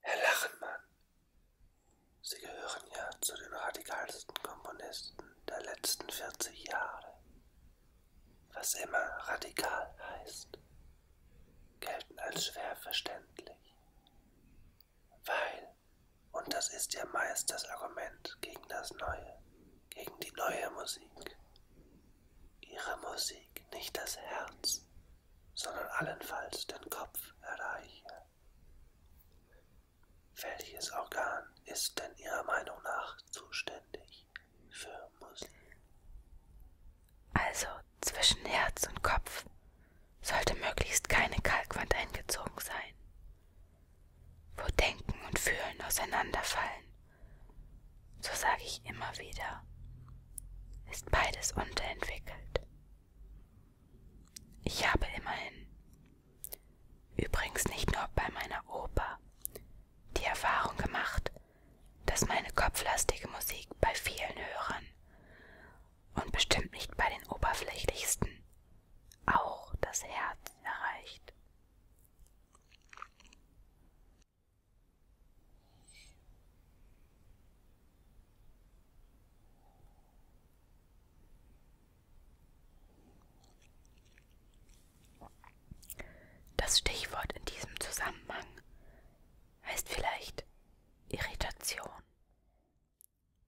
Herr Lachenmann, Sie gehören ja zu den radikalsten Komponisten der letzten 40 Jahre. Was immer radikal heißt, gelten als schwer verständlich. Weil, und das ist ja meist das Argument gegen das Neue, gegen die neue Musik, Ihre Musik, nicht das Herz, sondern allenfalls den Kopf erreiche. Welches Organ ist denn Ihrer Meinung nach zuständig für Muskeln? Also zwischen Herz und Kopf sollte möglichst keine Kalkwand eingezogen sein, wo Denken und Fühlen auseinanderfallen so sage ich immer wieder, ist beides unterentwickelt. Ich habe immerhin, übrigens nicht nur bei meiner Oper, die Erfahrung gemacht, dass meine kopflastige Musik bei vielen Hörern und bestimmt nicht bei den oberflächlichsten auch das Herz erreicht. Das Stichwort in diesem Zusammenhang heißt vielleicht Irritation.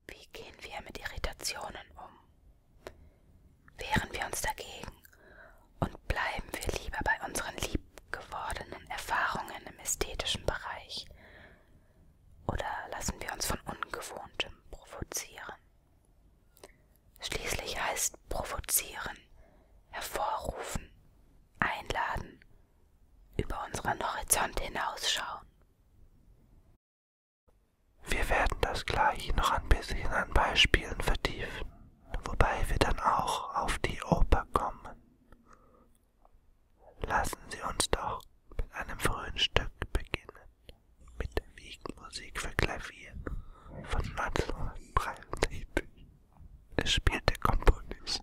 Wie gehen wir mit Irritationen um? Wehren wir uns dagegen und bleiben wir lieber bei unseren liebgewordenen Erfahrungen im ästhetischen Bereich oder lassen wir uns von Ungewohntem provozieren. Schließlich heißt provozieren, hervorrufen, einladen, über unseren Horizont hinausschauen. Wir werden das gleich noch ein bisschen an Beispielen vertiefen wobei wir dann auch auf die Oper kommen. Lassen Sie uns doch mit einem frühen Stück beginnen, mit der Wiegenmusik für Klavier von 1963. Es spielt der Komponist.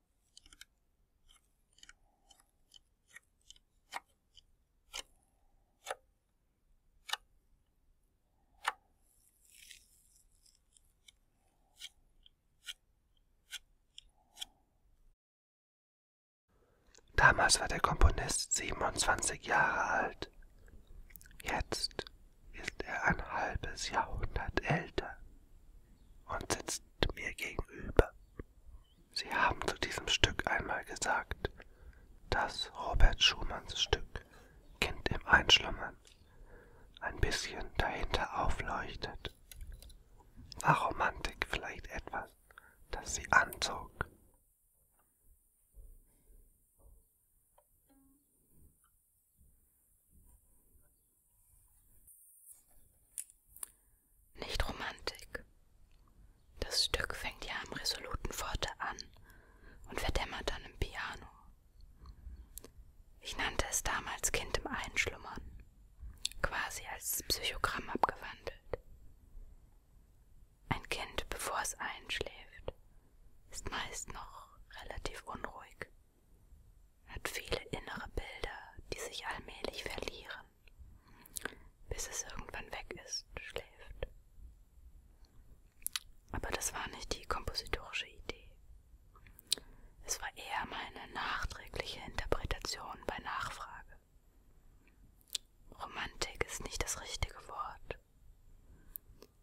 Damals war der Komponist 27 Jahre alt. Jetzt ist er ein halbes Jahrhundert älter und sitzt mir gegenüber. Sie haben zu diesem Stück einmal gesagt, dass Robert Schumanns Stück Kind im Einschlummern ein bisschen dahinter aufleuchtet. War Romantik vielleicht etwas, das sie anzog? Nicht Romantik. Das Stück fängt ja am resoluten Forte an und verdämmert dann im Piano. Ich nannte es damals Kind im Einschlummern, quasi als Psychogramm abgewandelt. Ein Kind, bevor es einschläft, ist meist noch relativ unruhig hat viele innere Bilder, die sich allmählich verlieren, bis es irgendwann weg ist, schläft. Aber das war nicht die kompositorische Idee. Es war eher meine nachträgliche Interpretation bei Nachfrage. Romantik ist nicht das richtige Wort.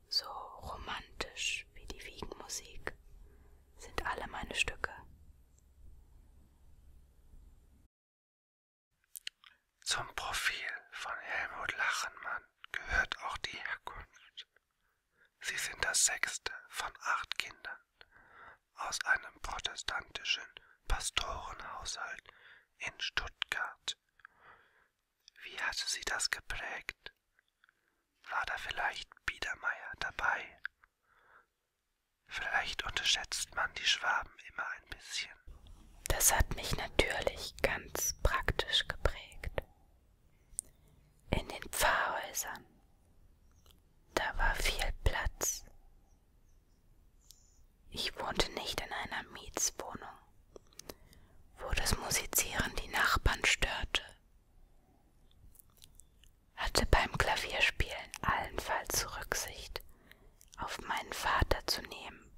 So romantisch wie die Wiegenmusik sind alle meine Stücke zum Profil von Helmut Lachenmann gehört auch die Herkunft. Sie sind das sechste von acht Kindern aus einem protestantischen Pastorenhaushalt in Stuttgart. Wie hatte sie das geprägt? War da vielleicht Biedermeier dabei, Vielleicht unterschätzt man die Schwaben immer ein bisschen. Das hat mich natürlich ganz praktisch geprägt. In den Pfarrhäusern, da war viel Platz. Ich wohnte nicht in einer Mietswohnung, wo das Musizieren die Nachbarn störte hatte beim Klavierspielen allenfalls Rücksicht auf meinen Vater zu nehmen,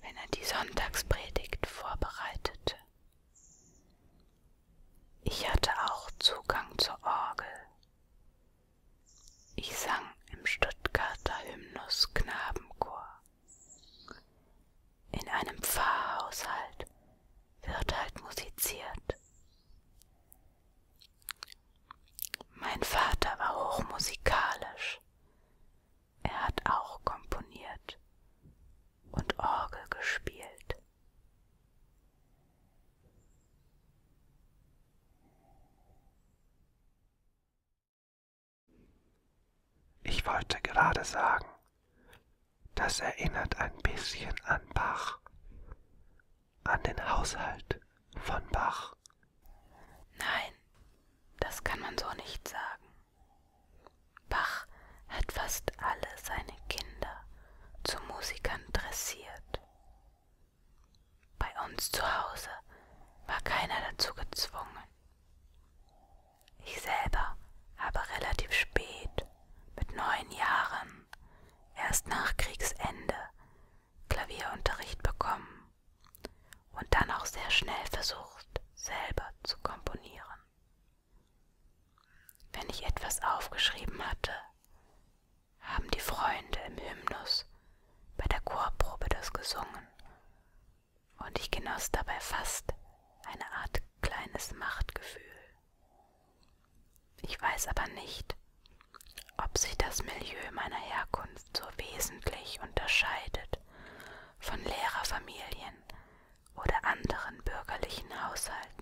wenn er die Sonntagspredigt vorbereitete. Ich hatte auch Zugang zur Orgel. Ich sang im Stuttgarter Hymnus Knabenchor. In einem Pfarrhaushalt wird halt musiziert. Mein Vater war hochmusikalisch. Er hat auch komponiert und Orgel gespielt. Ich wollte gerade sagen, das erinnert ein bisschen an Bach, an den Haushalt von Bach. Nein, das kann man so nicht sagen. Bach hat fast alle seine Kinder zu Musikern dressiert. Bei uns zu Hause war keiner dazu gezwungen. Ich selber habe relativ spät, mit neun Jahren, erst nach Kriegsende Klavierunterricht bekommen und dann auch sehr schnell versucht, selber zu komponieren. Wenn ich etwas aufgeschrieben hatte, haben die Freunde im Hymnus bei der Chorprobe das gesungen und ich genoss dabei fast eine Art kleines Machtgefühl. Ich weiß aber nicht, ob sich das Milieu meiner Herkunft so wesentlich unterscheidet von Lehrerfamilien oder anderen bürgerlichen Haushalten.